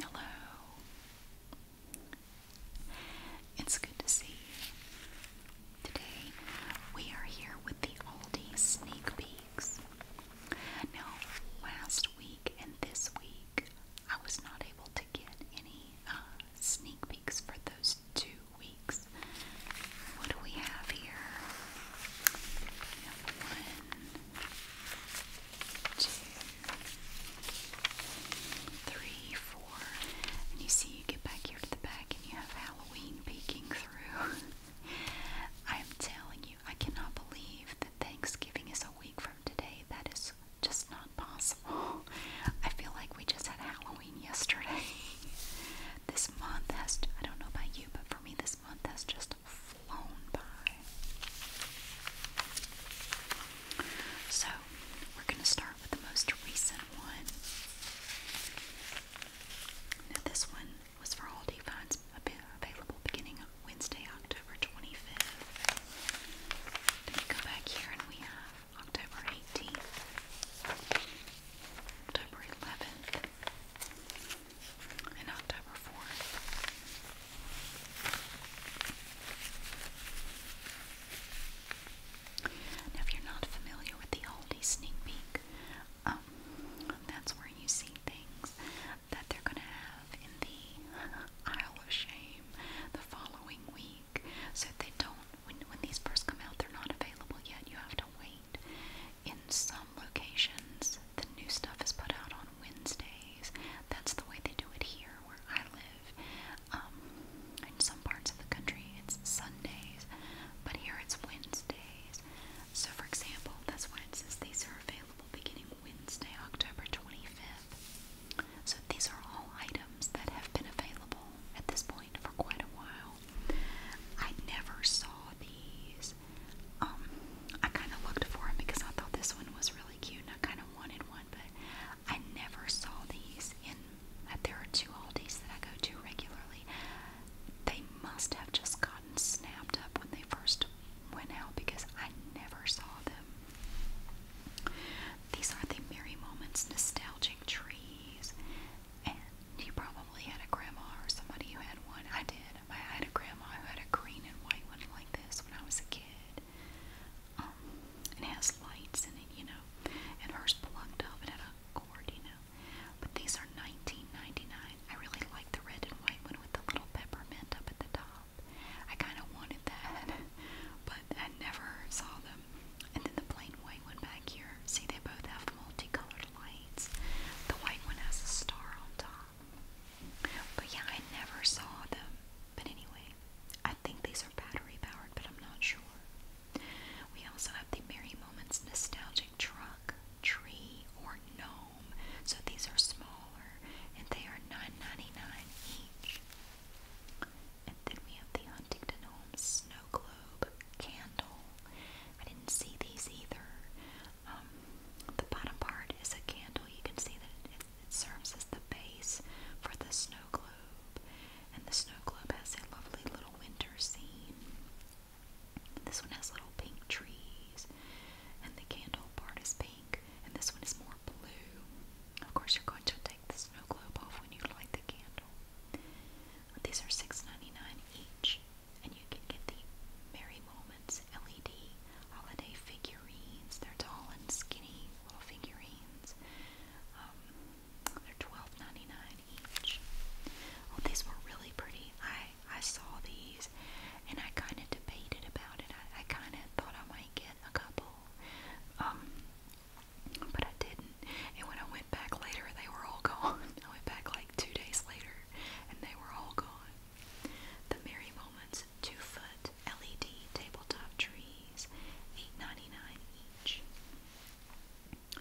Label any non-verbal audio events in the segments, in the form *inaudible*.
Hello. It's good to see Today we are here with the Aldi Sneak Peeks. Now, last week and this week I was not able to get any uh, sneak peeks for those two weeks what do we have here? one, two, three, four. And you see, you get back here to the back and you have Halloween peeking through. *laughs* I am telling you, I cannot believe that Thanksgiving is a week from today. That is just not possible. *laughs* I feel like we just had Halloween yesterday. *laughs* this month has, I don't know about you, but for me, this month has just flown by. So, we're going to start with the most recent one. this one was for all Divines available beginning Wednesday, October 25th. Then we go back here and we have October 18th, October 11th, in October 4th. Now, if you're not familiar with the oldie sneak peek, um, that's where you see things that they're going to have in the Isle of Shame the following week. So, if they don't, when, when these first come out, they're not available yet. You have to wait in some locations, the new stuff is put out on Wednesdays. That's the way they do it here where I live. Um, in some parts of the country, it's Sundays, but here it's Wednesdays. So, for example, this why says these are available beginning Wednesday, October 25th. So, these are all items that have been available at this point for quite a while now. I never saw these. Um, I kind of looked for them because I thought this one was really cute and I kind of wanted one, but I never saw these in. Uh, there are two Aldi's that I go to regularly. They must have just gotten snapped up when they first went out because I never saw them. These are the Merry Moments nostalgic trees. And you probably had a grandma or somebody who had one. I did. I had a grandma who had a green and white one like this when I was a kid. Um, it has lights in it, you know. And hers plugged up. It had a cord, you know. But these are $19.99. I really like the red and white one with the little peppermint up at the top. I kind of wanted that, *laughs* but I never saw them. And then the plain white one back here. See, they both have multicolor lights. The white one has a star on top. But yeah, I never saw them. But anyway, I think these are battery powered, but I'm not sure. We also have the Merry Moments Nostalgic Truck, Tree, or Gnome. So these are smaller and they are $9.99 each. And then we have the Huntington Homes Snow Globe Candle. I didn't see these either. Um, the bottom part is a candle. You can see that it, serves as the base for the snow globe, and the snow globe has a lovely little winter scene. This one has little pink trees, and the candle part is pink, and this one is more blue. Of course, you're going to take the snow globe off when you light the candle. These are $6.99 each and you can get the Merry Moments LED holiday figurines. They're tall and skinny little figurines. Um, they're $12.99 each. Oh, these were really pretty. I I saw these and I kind of debated about it. I, I kind of thought I might get a couple, um, but I didn't. And when I went back later, they were all *laughs* gone. I went back like two days later, and they were all gone. The Merry Moments two foot LED tabletop trees, eight ninety nine each.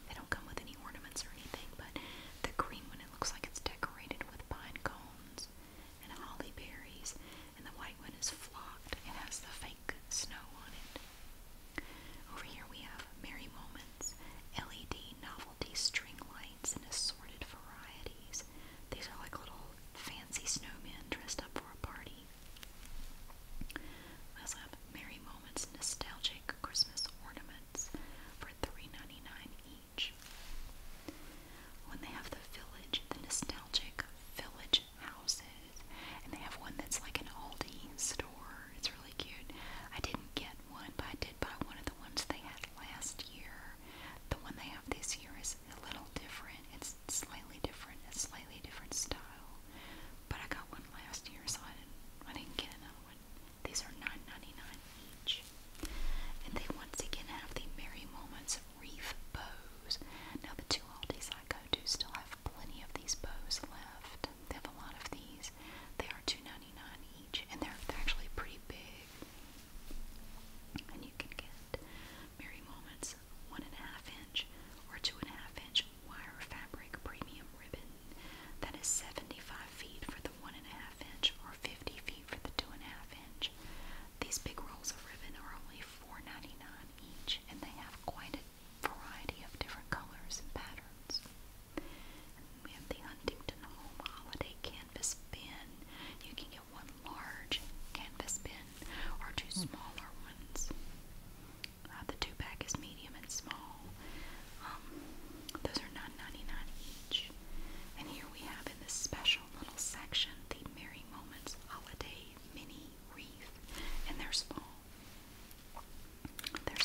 They don't come with any ornaments or anything, but the green one, it looks like it's decorated with pine cones and holly berries, and the white one is flocked and has the fake snow on it. Over here we have Merry Moments. LED novelty string lights in assorted varieties. These are like little fancy snowmen dressed up for a party. We also have Merry Moments nostalgic Christmas ornaments for 3 each. When they have the village, the nostalgic village houses, and they have one that's like an Aldi store. It's really cute. I didn't get one, but I did affected by one of the ones they had last year. The one they have this year is a little different. It's slightly different. It's slightly different style. But I got one last year, so I didn't, I didn't get another one. These are $9.99 each. And they once again have the Merry Moments Wreath Bows. Now the two Aldi's I go to still have plenty of these bows left. They have a lot of these. They are two ninety nine each, and they're, actually pretty big. And you can get Merry Moments 1.5 inch or 2.5 inch wire fabric premium ribbon that is 75 feet for the 1.5 inch or 50 feet for the 2.5 inch. These big rolls of ribbon are only 4 each, and they have quite a variety of different colors and patterns we have the Huntington Home Holiday Canvas Bin. You can get one large canvas bin or two hmm. smaller ones. Uh, the two pack is medium and small. Um, those are 9 each. And here we have in this special little section the Merry Moments Holiday Mini Wreath, and they're small. They're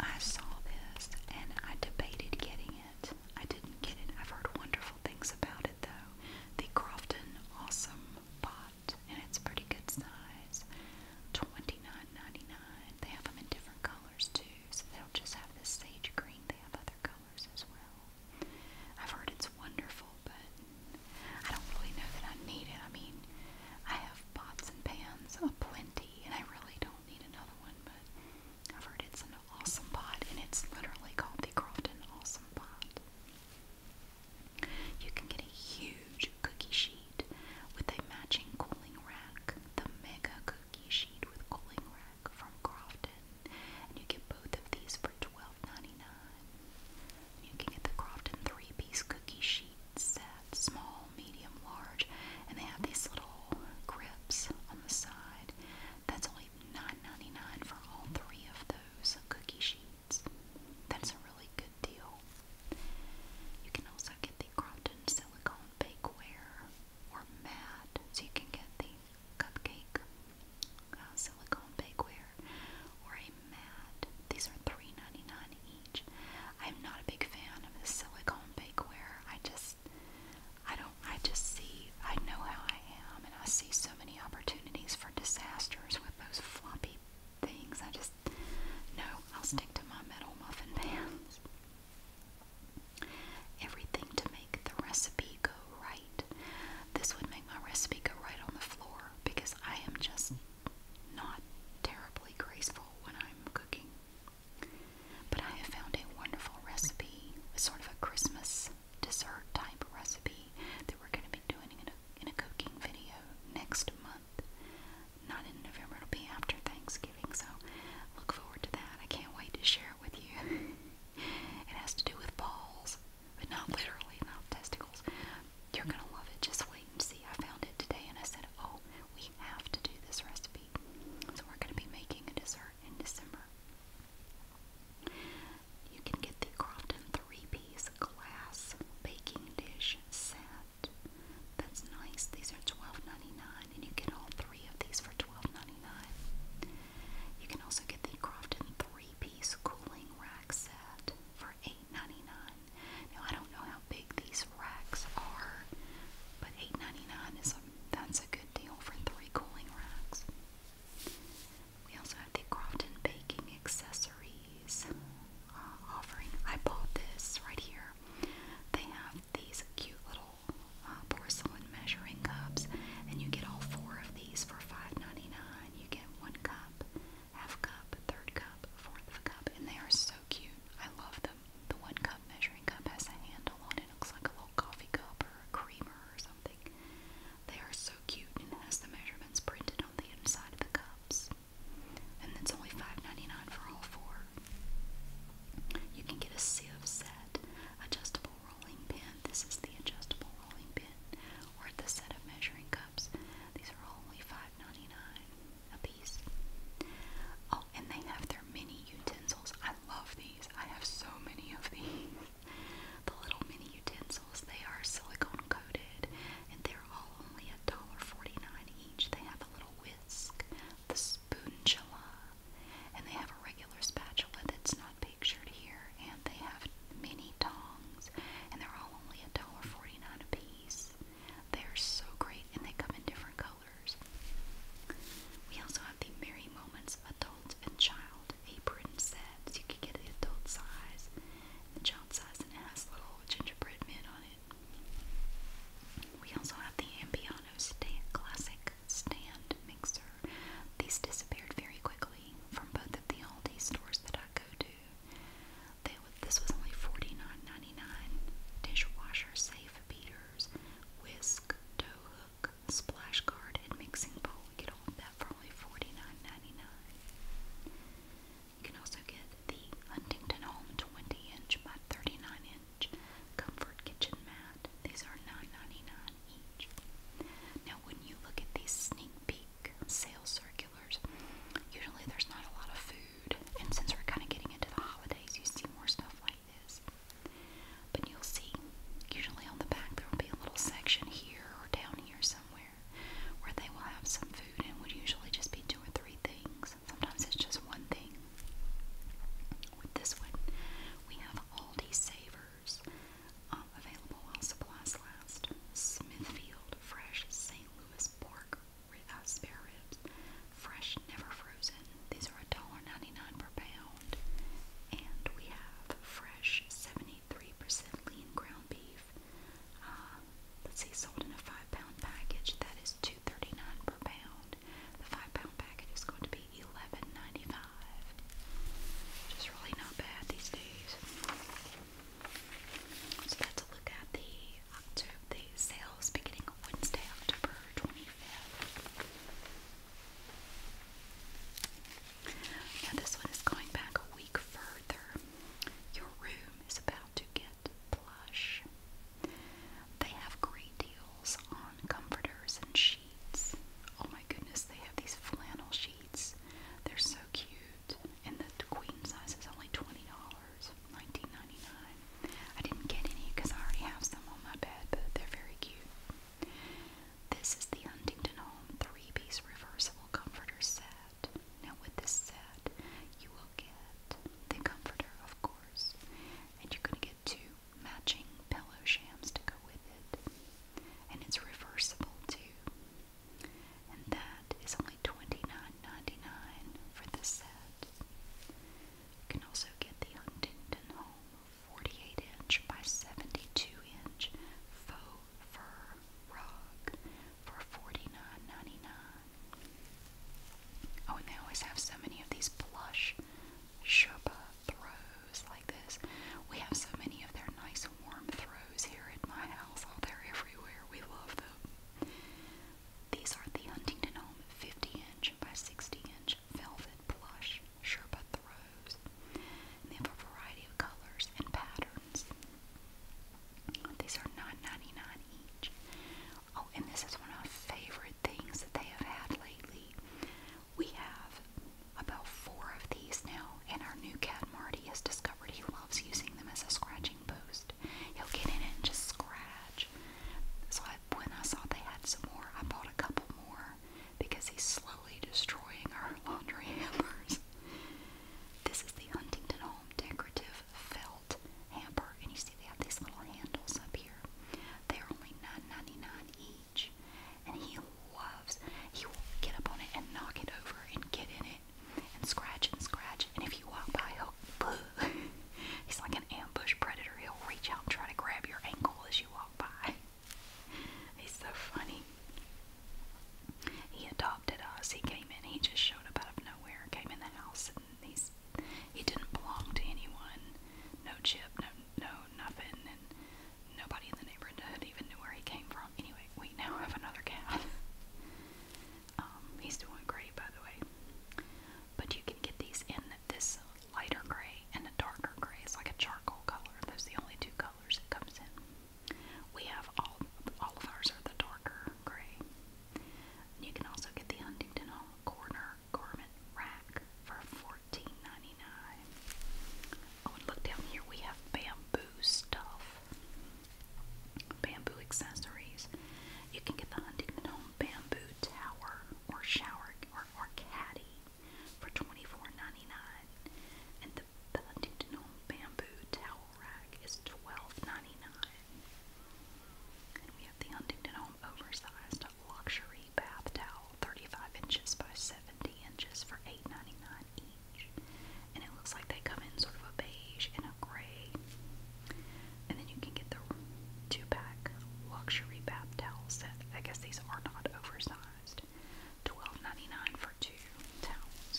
I saw this and I debated getting it. I didn't get it. I've heard wonderful things about it though. The Crofton Awesome Pot, and it's pretty good size. Twenty nine ninety nine. They have them in different colors too, so they don't just have this sage green. They have other colors as well. I've heard it's wonderful, but I don't really know that I need it. I mean, I have pots and pans aplenty, and I really don't need another one, but I've heard it's an awesome pot, and it's literally called the Crofton Awesome Pot. You can get a huge cookie sheet with a matching cooling rack, the Mega Cookie Sheet with Cooling Rack from Crofton. And you get both of these for $25 12 You can get the Crofton three-piece cookie sheet set, small, medium, large, and they have these little grips on the side. That's only 9 dollars for all three of those cookie sheets. That's a really good deal. You can also get the Crofton silicone bakeware or mat, so you can get the cupcake uh, silicone bakeware or a mat. These are 3 each. I'm not a big fan of the silicone bakeware. I just, I don't, I just see, I know how I am, and I see so many opportunities for disasters with those floppy things. I just, no, I'll stick to my metal muffin *laughs* pans. Everything to make the recipe go right. This would make my recipe go right on the floor because I am just not terribly graceful when I'm cooking. But I have found a wonderful recipe, sort of a Christmas dessert type recipe that we're going to be doing in a, in a cooking video next month. Not in November, it'll be after Thanksgiving, so look forward to that. I can't wait to share it with you. *laughs* it has to do with balls but not literally, not testicles. You're gonna love it. Just wait and see. I found it today, and I said, "Oh, we have to do this recipe." So we're gonna be making a dessert in December. You can get the Crofton three-piece glass baking dish set. That's nice. These are twelve ninety nine, and you get all three of these for 12 You can also get the Crofton three-piece cooling rack set for for $8.99. Now I don't know how big these racks are, but $8.99 is a that's a good deal for three cooling racks. We also have the Crofton Baking Accessories uh, offering. I bought this right here. They have these cute little uh, porcelain measuring cups, and you get all four of these for $5.99. You get one cup, half cup, third cup, fourth cup, and they are so cute. I love them. The one cup measuring cup has a handle on it. It looks like a little coffee cup or a creamer or something. They are so cute and it has the measurements printed on the inside of the cups. And it's only $5.99 for all four. You can get a sieve set, adjustable rolling pin. This is the adjustable rolling pin, or the set of measuring cups. Oh, and they have their mini utensils. I love these. I have so many of these. *laughs* The little mini utensils, they are silicone coated and they're all only $1.49 each. They have a little whisk, the spoonula, and they have a regular spatula that's not pictured here, and they have mini tongs and they're all only $1.49 a piece. They're so great, and they come in different colors. We also have the Merry Moments Adult and Child apron sets. You can get the adult size and the child size, and it has little gingerbread men on it. We also have the Ambiano stand, Classic Stand Mixer. These disappeared very quickly from both of the Aldi stores that I go to this was only $49.99. Dishwasher, safe beaters, whisk, toe hook, splash guard, and mixing bowl. You get all of that for only $49.99. You can also get the Huntington Home 20 inch by 39 inch comfort kitchen mat. These are $9.99 each. Now, when you look at these sneak peek week sales circulars. Usually there's not a lot of food, and since we're kind of getting into the holidays, you see more stuff like this. But you'll see, usually on the back, there will be a little section here or down here somewhere where they will have some food, and it would usually just be two or three things. Sometimes it's just one thing. With this one, we have Aldi Savers, um, available while supplies last. Smithfield Fresh Savers. St. Louis pork uh, spare ribs, fresh, never frozen. These are $1.99 per pound. And we have fresh 73% lean ground beef. Uh, let's see, sold in a five pound package. That is $2.39 per pound. The five pound package is going to be $11.95. Just really not bad these days. So that's a look at the October sales beginning Wednesday, October 25th. Now this one is going back a week further. Your room is about to get plush. They have great deals on comforters and sheets. Oh my goodness, they have these flannel sheets. They're so cute and the queen size is only twenty dollars, nineteen ninety nine. I didn't get any because I already have some on my bed, but they're very cute. This is the Huntington Home three-piece reversible comforter set. Now with this set, you will get the comforter, of course, and you're gonna get two matching pillow shams to go with it, and it's reversible too and that is only $29.99 for this set. You can also get the Huntington Home 48 inch by 72 inch faux fur rug for 49 Oh, and they always have so many of these plush Sherpa throws like this. We have so many of their nice warm throws rose here at my house. Oh, they're everywhere. We love them. These are the Huntington Home 50 inch by 60 inch velvet plush sherbet throws. And they have a variety of colors and patterns. These are $9.99 each. Oh, and this is one of my favorite things that they have had lately. We have about four of these now and our new cat Marty has discovered he loves using them as a scratching post. He'll get in it and just scratch. So I, when I saw they had some more, I bought a couple more because he's slowly destroying our laundry *laughs* hammers. This is the Huntington Home Decorative Felt hamper, and you see they have these little handles up here. They're only 9 dollars each, and he loves. He will get up on it and knock it over and get in it and scratch it and scratch it. And if you walk by, he'll *laughs* he's like an ambush predator. He'll reach out and try to grab your ankle as you walk by. *laughs* He's so funny. He adopted us. He came in. He just showed up out of nowhere. Came in the house he's he didn't belong to anyone. No chip. No no nothing. And nobody in the neighborhood even knew where he came from. Anyway, we now have another cat. *laughs* Um, he's doing great, by the way. But you can get these in this lighter gray and a darker gray. It's like a charcoal color. Those the only two colors it comes in. We have all all of ours are the darker gray. you can also get the Huntington Hall Corner Garment Rack for 14 Oh, and look down here. We have bamboo stuff. Bamboo accessories. You can get the Huntington Home Bamboo Tower or Shower or, or Caddy for 24 And the, Huntington Home Bamboo Towel Rack is 12 we have the Huntington Home Oversized Luxury Bath Towel, 35 inches by 70 inches for 8 each. And it looks like they come in sort of a beige and a gray. And then you can get the two pack luxury bath towel set. I guess these are not oversized. $12.99 for two towels.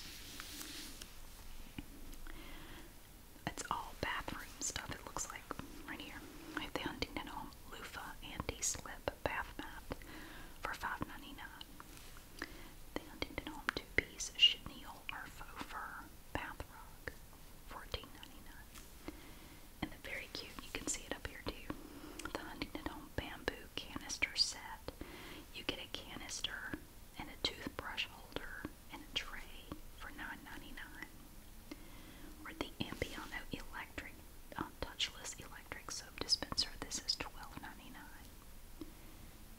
It's all bathroom stuff, it looks like, right here. I have the Huntington Home Loofah Anti Slip Bath Mat for $5.99. The Huntington Home two-piece chenille or faux fur bath rug, 14 And the very cute, you can see it up here too, the Huntington Home bamboo canister set. You get a canister and a toothbrush holder and a tray for 9 Or the Ambiano electric, uh, touchless electric soap dispenser. This is twelve ninety nine.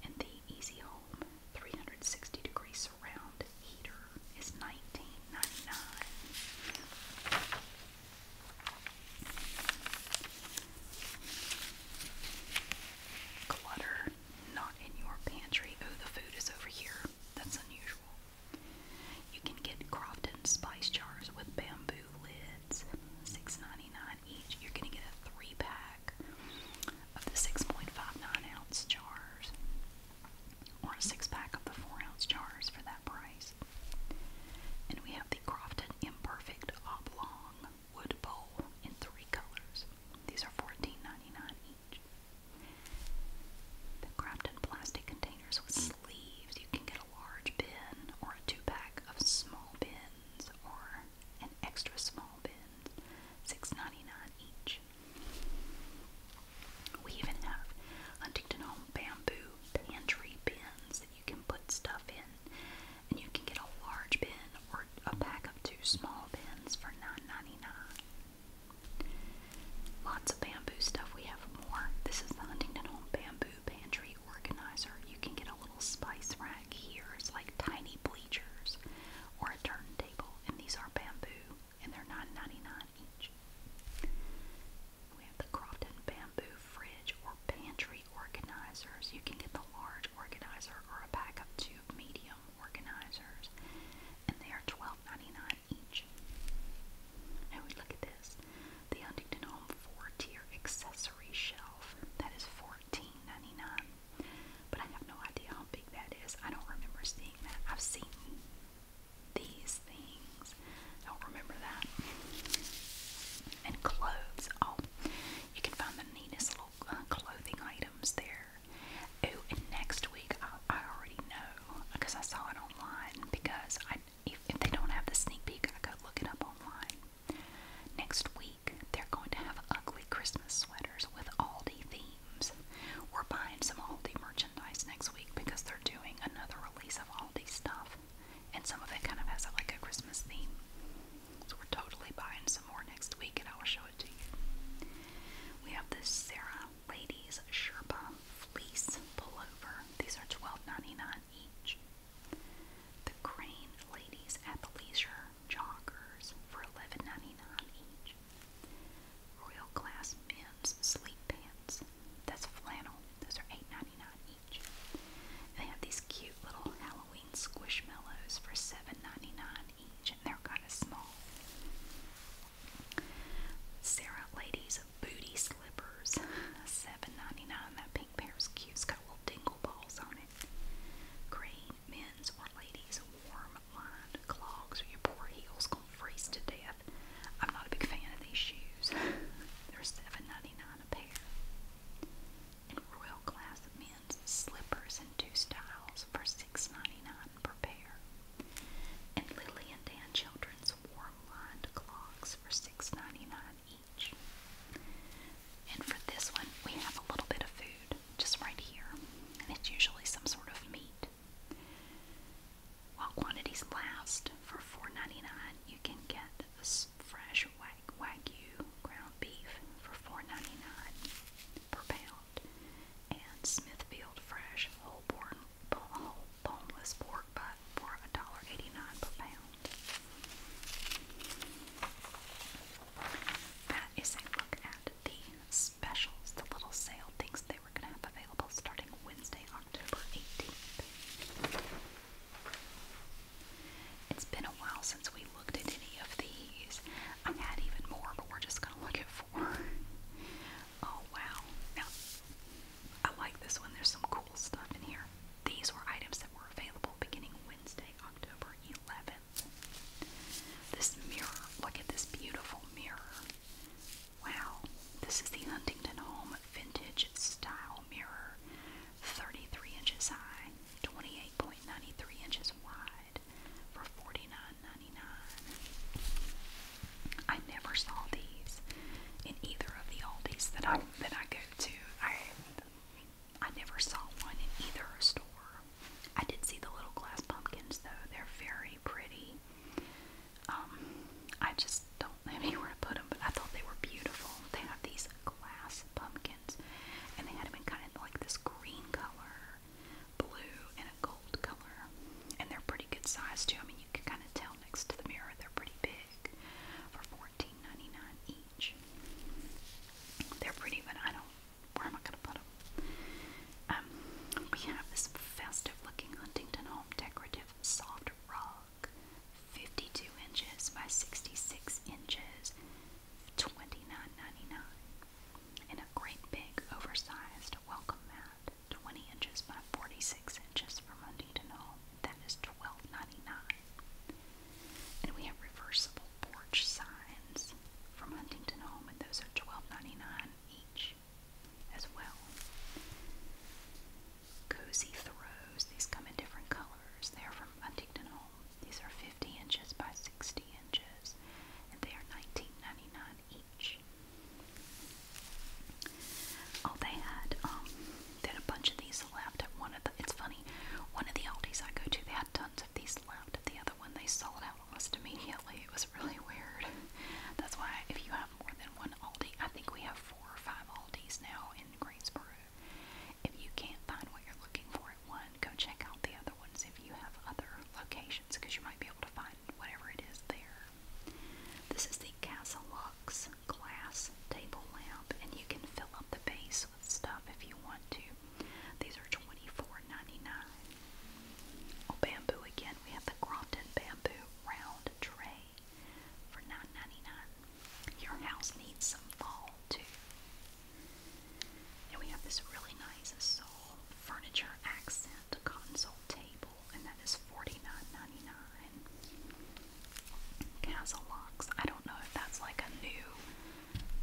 And the Easy Home 360 degree surround heater is 19 Clutter not in your pantry. Oh, the food is over here. That's unusual. You can get Crofton spice jars with bamboo lids, 6 each. You're gonna get a three pack of the 6.59 ounce jars, or a six pack of the 4 ounce jars for that price. And we have the Crofton Imperfect Oblong Wood Bowl in three colors. These are fourteen ninety nine each. The Crofton plastic containers with sleeves. You can get a large bin or a two pack of small bins or and extra small bins, $6.99 each. We even have Huntington Home bamboo pantry bins that you can put stuff in, and you can get a large bin or a pack of two small bins for 9 Lots of bamboo stuff. We have more. This is the Huntington Home bamboo pantry organizer. You can get a little spice rack here is like tiny bleachers or a turntable, and these are bamboo, and they're 99 each. We have the Crofton Bamboo Fridge or Pantry Organizers. You can get the large organizer or a pack of two medium organizers, and they are 12 each. Now we look at this the Huntington Home 4 tier accessory shelf that $13.99. But I have no idea how big that is. I don't remember seeing that. I've seen these things. Don't remember that. And clothes. Oh, you can find the neatest little uh, clothing items there. Oh, and next week I, I already know because I saw it online. Because I, if, if they don't have the sneak peek, I go look it up online. Next week they're going to have ugly Christmas sweaters with Aldi themes. We're buying some Aldi merchandise next week because they're doing another release of Aldi stuff, and some of it kind of has like a Christmas theme. So we're totally buying some more next week, and I will show it to you. We have this Sarah Ladies Sherpa Fleece Pullover. These are $12.99 each. The Crane Ladies leisure joggers for $11.99 each. Royal Class Men's Sleep Pants, that's flannel, those are $8.99 each. They have these cute little Halloween squishmallows for $7.99 each, and they're kind of small. Sarah Ladies Booty Slippers, *laughs* $7.99. That pink pair is cute. It's got little dingle balls on it. Green men's or ladies' warm lined clogs, or your poor heels gonna freeze to death. I'm not a big fan of these shoes. *laughs* They're $7.99 a pair. And Royal Class men's slippers in two styles for $6.99 per pair. And Lily and Dan Children's warm lined clogs for $6.99 each. And for this one, we have a little bit of food card just right here, and it's usually some sort of meat. While quantities last for $4.99, you can get this fresh wag wagyu ground beef for $4.99 per pound, and Smithfield fresh whole born whole boneless pork butt for $1.89 per pound. That is a look at the specials, the little sale things they were going to have available starting Wednesday, October 18th. It's been a while since we looked at any of these. I had even more, but we're just going to look at four. oh, wow. Now, I like this one. There's some cool stuff in here. These were items that were available beginning Wednesday, October 11th. This mirror, look at this beautiful mirror. Wow, this is the Huntington Home Vintage Style Mirror, 33 inches high, 28.93 inches wide for 49 I never saw these in either of the Aldi's that I, that I go to. I never saw one in either store. I did see the little glass pumpkins though. They're very pretty. Um, I just don't have *laughs* anywhere to put them, but I thought they were beautiful. They have these glass pumpkins, and they had them in kind of like this green color, blue, and a gold color. And they're pretty good size too. I mean, you can kind of tell next to the mirror they're pretty big for $14.99 each. They're pretty, but I don't where am I going to put them? Um, we have this festive looking Huntington Home decorative soft rug, 52 inches by 66 inches, twenty-nine ninety-nine. dollars and a great big oversized welcome mat, 20 inches by 46 inches from Huntington Home. That and we have reversible porch signs from Huntington Home, and those are $12.99 each as well. Cozy throws, these come in different colors. They're from Huntington Home. These are 50 inches by 60 inches, and they are $19.99 each. Oh, they had um, they had a bunch of these left at one of the. It's funny, one of the Aldi's I go to, they had tons of these left of the other one. They sold out almost immediately. It was really weird. That's why if you have more than one Aldi, I think we have four or five Aldis now in Greensboro. If you can't find what you're looking for at one, go check out the other ones if you have other locations because you might be able to find whatever it is there. This is the Casa Lux glass table lamp and you can fill up the base this stuff if you want to. These are $24.99. Oh, bamboo again. We have the Crompton Bamboo Round Tray for $9.99. Your house needs some fall, too. And we have this really nice Soul Furniture Accent Console Table, and that is $49.99. Castle Locks. I don't know if that's like a new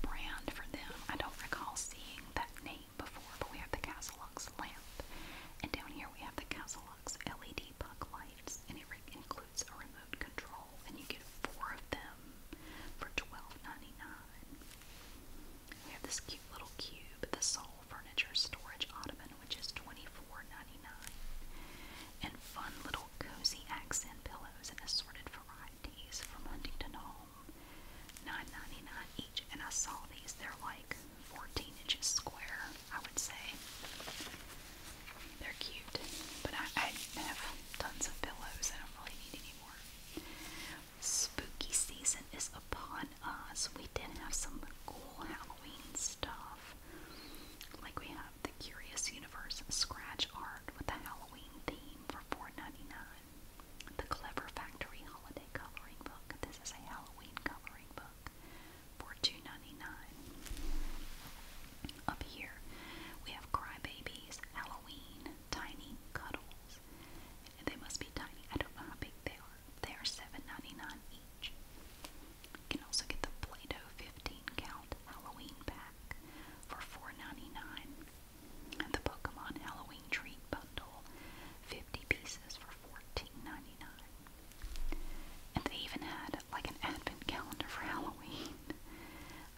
brand for them. I don't recall seeing that name before, but we have the Castle Lux lamp. And down here we have the Castle Lux LED puck lights, and it includes a remote control, and you get four of them for $12.99. We have this cute little cube, the Soul Furniture Storage Ottoman, which is $24.99. And fun little cozy accent pillows and assorted varieties from Huntington Hall home. $9.99 each, and I saw these. They're like 14 inches square, I would say. They're cute, but I, I have tons of pillows. I don't really need any more. Spooky season is upon us. We did have some cool Halloween stuff. Like we have the Curious Universe scratch art with the Halloween theme for $4.99. The Clever Factory Holiday Coloring Book. This is a Halloween coloring book for $2.99. Up here, we have Cry Babies Halloween, Tiny Cuddles. They must be tiny. I don't know how big they are. They are $7.99 each. You can also get the Play-Doh 15 count Halloween pack for $4.99. The Pokemon Halloween Treat Bundle, 50 pieces for $14.99. And they even had like an advent calendar for Halloween.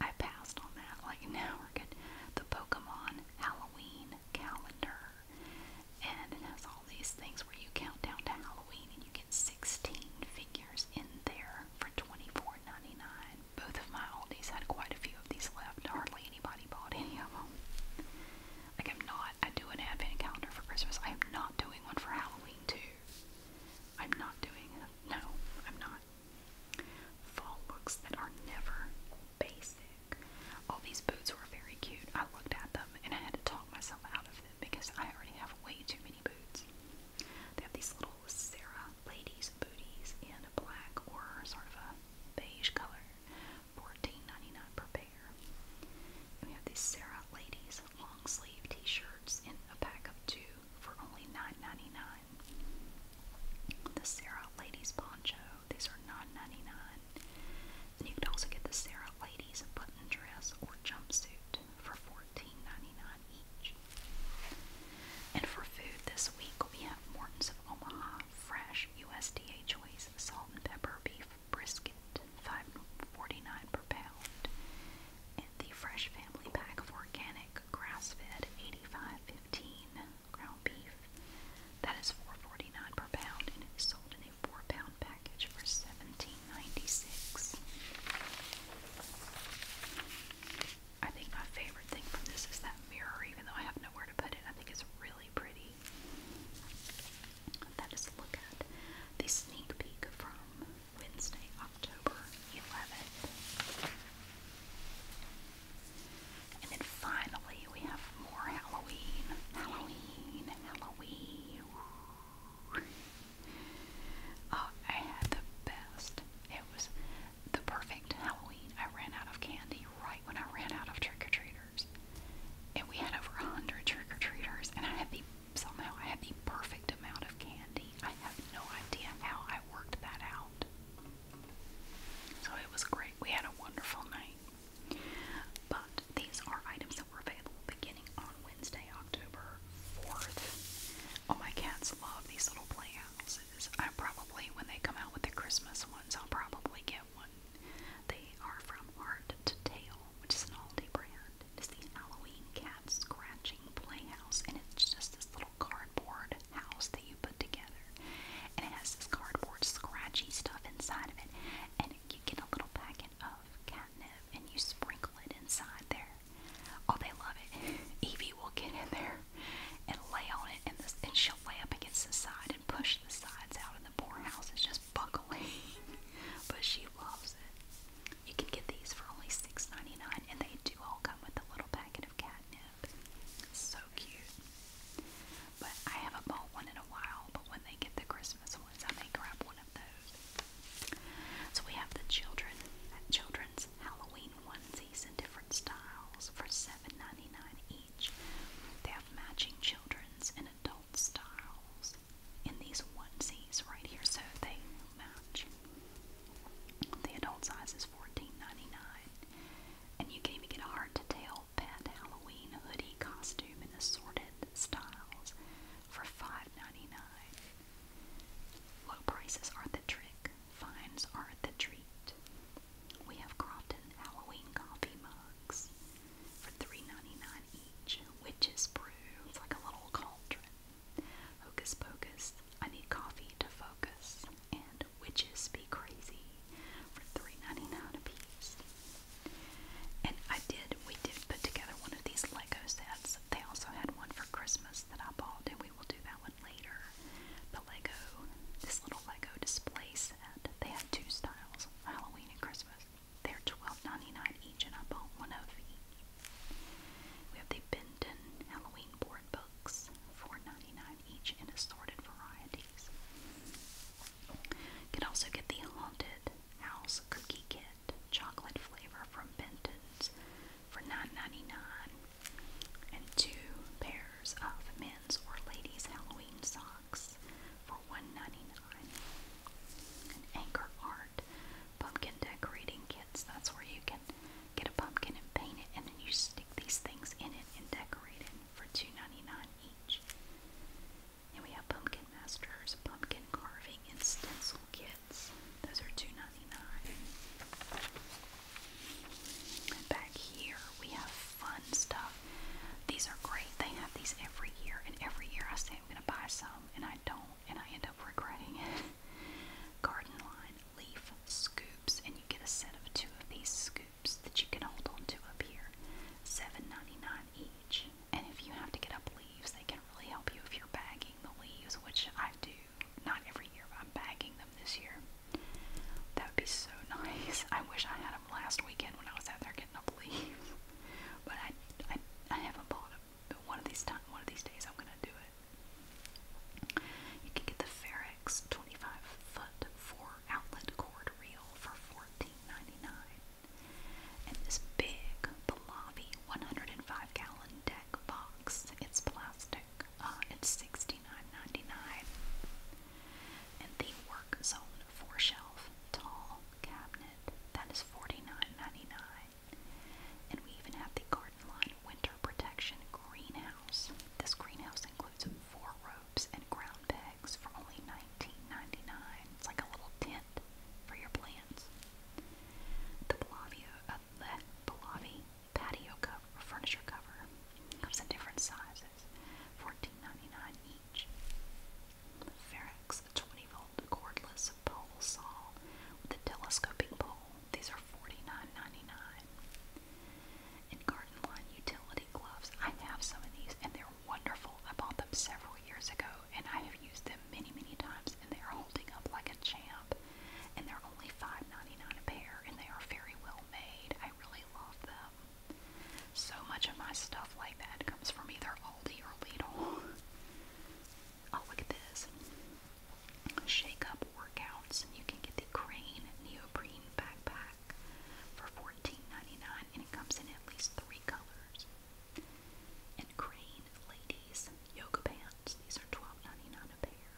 I passed on that. Like now we're good. The Pokemon Halloween calendar. And it has all these things where you count down to Halloween and you get 16 figures in there for $24.99 both of my oldies had quite a few of these left. Hardly anybody bought any of them. Like, I'm not, I do an advent calendar for Christmas. I am not doing one for Halloween, too. I'm not doing it. No, I'm not. Fall looks that are never basic. All these boots were very cute. I looked at them and I had to talk myself out of them because I already have way too many boots. They have these little example was Sarah, ladies' booties in a black or sort of a beige color, fourteen ninety nine per pair. And we have these Sarah ladies long sleeve T-shirts in a pack of two for only nine ninety nine. The Sarah ladies poncho; these are nine ninety nine. And you can also get the Sarah ladies button dress or jumpsuit for fourteen ninety nine each. And for food this week, we have Morton's of Omaha fresh USDA choice salt and pepper beef brisket, 5 dollars per pound. And the fresh family pack of organic grass-fed 85.15 ground beef. thats four forty nine per pound, and it is sold in a four-pound package for seventeen ninety six. I think my favorite thing from this is that mirror, even though I have nowhere to put it. I think it's really pretty. That is a look at the sneak peek from Wednesday, October 11th. And then finally, we have more Halloween. Halloween, Halloween. Oh, I had the best. It was the perfect Halloween. I ran out of candy right when I ran out of trick or treaters. And we had over 100 trick or treaters, and I had the somehow I had the perfect amount of candy. I have no idea how I worked that out. So it was great. We had a wonderful night. But these are items that were available beginning on Wednesday, October 4th. Oh, my cats love these little plants houses. I probably, when they come out with the Christmas ones, I'll probably get one. They are from Art to Tail, which is an Aldi brand. It's the Halloween cat scratching playhouse, and it's just this little cardboard house that you put together. And it has this cardboard scratchy stuff inside of it, and you get a little packet of catnip and you sprinkle it inside there. Oh, they love it. *laughs* Evie will get in there and lay on it, and, this, and she'll lay up against the side and push the sides out, and the poor house is just buckling. *laughs* but she loves it. You can get these for only $6.99, and they do all come with a little packet of catnip. So cute. But I haven't bought one in a while, but when they get the Christmas ones, I may grab one of those. So we have the children, children's Halloween onesies in different different styles for $7.99 each. They have matching children's and adult styles in these onesies right here, so they match. The adult size is $14.99, and you can even get a hard to tell pet Halloween hoodie costume in assorted styles for $5.99. Low prices are the trick, fines are the treat. We have Crofton Halloween coffee mugs for $3.99 each. Witches brew. It's like a little cauldron. Hocus Pocus, I need coffee to focus. And Witches Be Crazy for 3 a piece. And I did, we did put together one of these Lego sets. They also had one for Christmas that I bought, and we will do that one one later. The Lego, this little Lego display set, they have two styles, Halloween and Christmas. They're $12.99 each, and I bought one of each. We have the Benton Halloween board books, $4.99 each in assorted varieties. You can also get the Haunted House Cookie Kit chocolate flavor from Benton's for $9.99 and two pairs of men's or ladies' Halloween socks for $1.99. And anchor art, pumpkin decorating kits. That's where you can get a pumpkin and paint it, and then you stick these things in it and decorate it for $2.99 each. And we have pumpkin masters, pumpkin carving, and stencil kits. Those are $2.99. Back here we have fun stuff. These are great. They have these every year, and every year I say I'm gonna buy some, and I don't, and I end up regretting it. *laughs* Garden line leaf scoops, and you get a set of two of these scoops that you can hold on to up here. $7.99 each. And if you have to get up leaves, they can really help you if you're bagging the leaves, which I do. Not every year, but I'm bagging them this year. That would be so *laughs* nice. I wish I had them last weekend when I was out there getting up leaves. *laughs* But I, I, I haven't bought them. But one of these time, one of these days, I'm gonna do it. You can get the Ferrex 25 foot four outlet cord reel for $14.99. And this big Pallavi 105 gallon deck box. It's plastic. Uh, it's $69.99. And the Work Zone 4 shelf tall cabinet, that is $49.99. And we even have the Garden Line Winter Protection Greenhouse. This greenhouse includes four ropes and ground pegs for only $19.99. It's like a little tent for your plants. The Pallavi, uh, the Pallavi patio cover or furniture cover. Comes in different sizes, $14.99 each. Ferex, a 20 volt cordless pole saw with a telescoping pole. These are $49.99. And Garden Line utility gloves. I have some of these and they're wonderful. I bought them several years ago and I have used them many, many times and they are holding up like a champ. And they're only $5.99 a pair and they are very well made. I I really love them. So much of my stuff like that comes from either Aldi or Lidl. *laughs* Oh, look at this. Shake Workouts, you can get the Crane Neoprene Backpack for $14.99, and it comes in at least three colors. And Crane Ladies Yoga Pants, these are $12.99 a pair.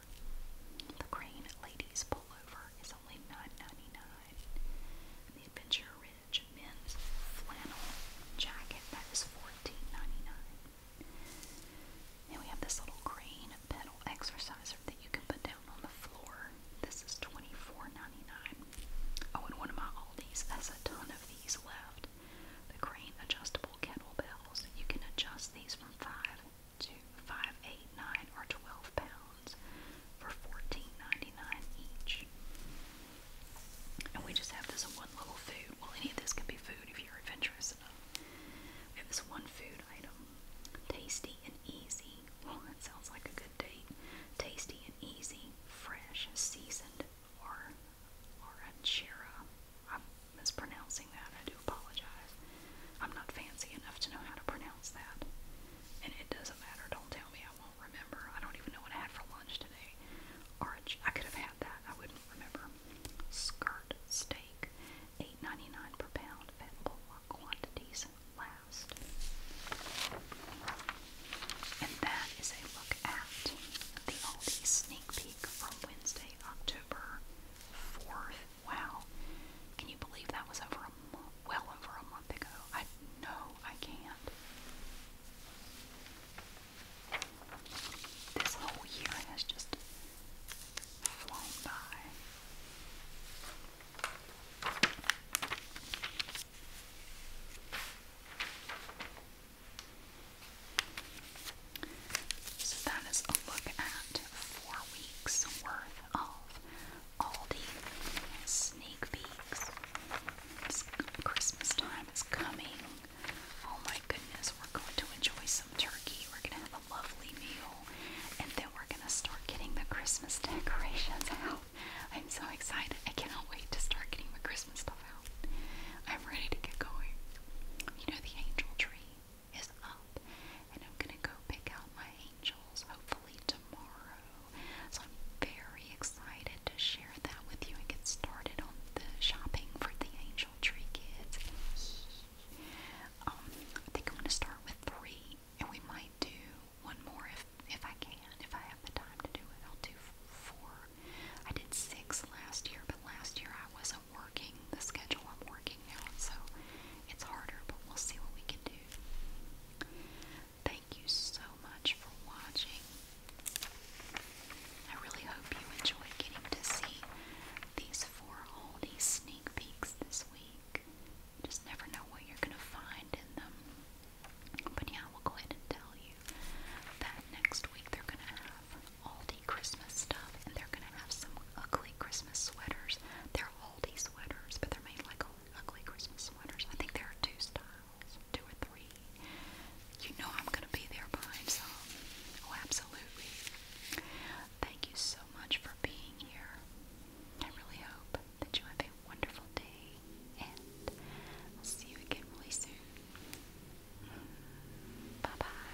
The Crane Ladies Pullover is only nine ninety nine. dollars The Adventure Ridge Men's Flannel Jacket, that is $14.99. we have this little crane pedal exerciser that you can put down on the floor. This is $24.99. Oh, and one of my Aldi's has a ton of these left. The crane adjustable kettlebells. You can adjust these from 5 to five, eight, nine, or twelve pounds for $14.99 each. And we just have this one little food. Well, any of this can be food if you're adventurous enough. We have this one food item. Tasty and easy. Well, that sounds like a good date. Tasty and easy, fresh, seasoned, or or a chera. I'm mispronouncing that. I do do apologize. I'm not fancy enough to know how to pronounce that. And it doesn't matter. Don't tell me. I won't remember. I don't even know what I had for lunch today. Orange. I could have had that. I wouldn't remember. Skirt steak. $8.99 per pound. Fat bullock quantities last. And that is a look at the Aldi sneak peek from Wednesday, October 4th. Wow. Can you believe that was over a month, well over a month ago? I no, I can't. This whole year has just flown by. So that is a look at four weeks worth of Aldi sneak peeks. It's Christmas time is coming. Oh my goodness, we're going to enjoy some turkey. We're going to have a lovely meal. And then we're going to start getting the Christmas decorations out. I'm so excited. I cannot wait to start getting my Christmas stuff out. I'm ready to get going. You know, the angel tree is up, and I'm gonna go pick out my angels hopefully tomorrow. So I'm very excited to share that with you and get started on the shopping for the angel tree kids. Um, I think I'm gonna start with three, and we might do one more if if I can, if I have the time to do it. I'll do four. I did six last year, but last year I wasn't working the schedule I'm working now, so it's harder. But we'll see what we can do. Thank you so much for watching. I really hope you enjoy getting to see these four oldie sneak peeks this week. Just never know what you're going to find in them. But yeah, we'll go ahead and tell you that next week they're going to have oldie Christmas stuff and they're going to have some ugly Christmas sweaters. They're all moldy sweaters, but they're made like ugly Christmas sweaters. I think there are two styles, two or three. You know I'm gonna be there buying some. Oh, absolutely. Thank you so much for being here. I really hope that you have a wonderful day, and I'll see you again really soon. Bye bye.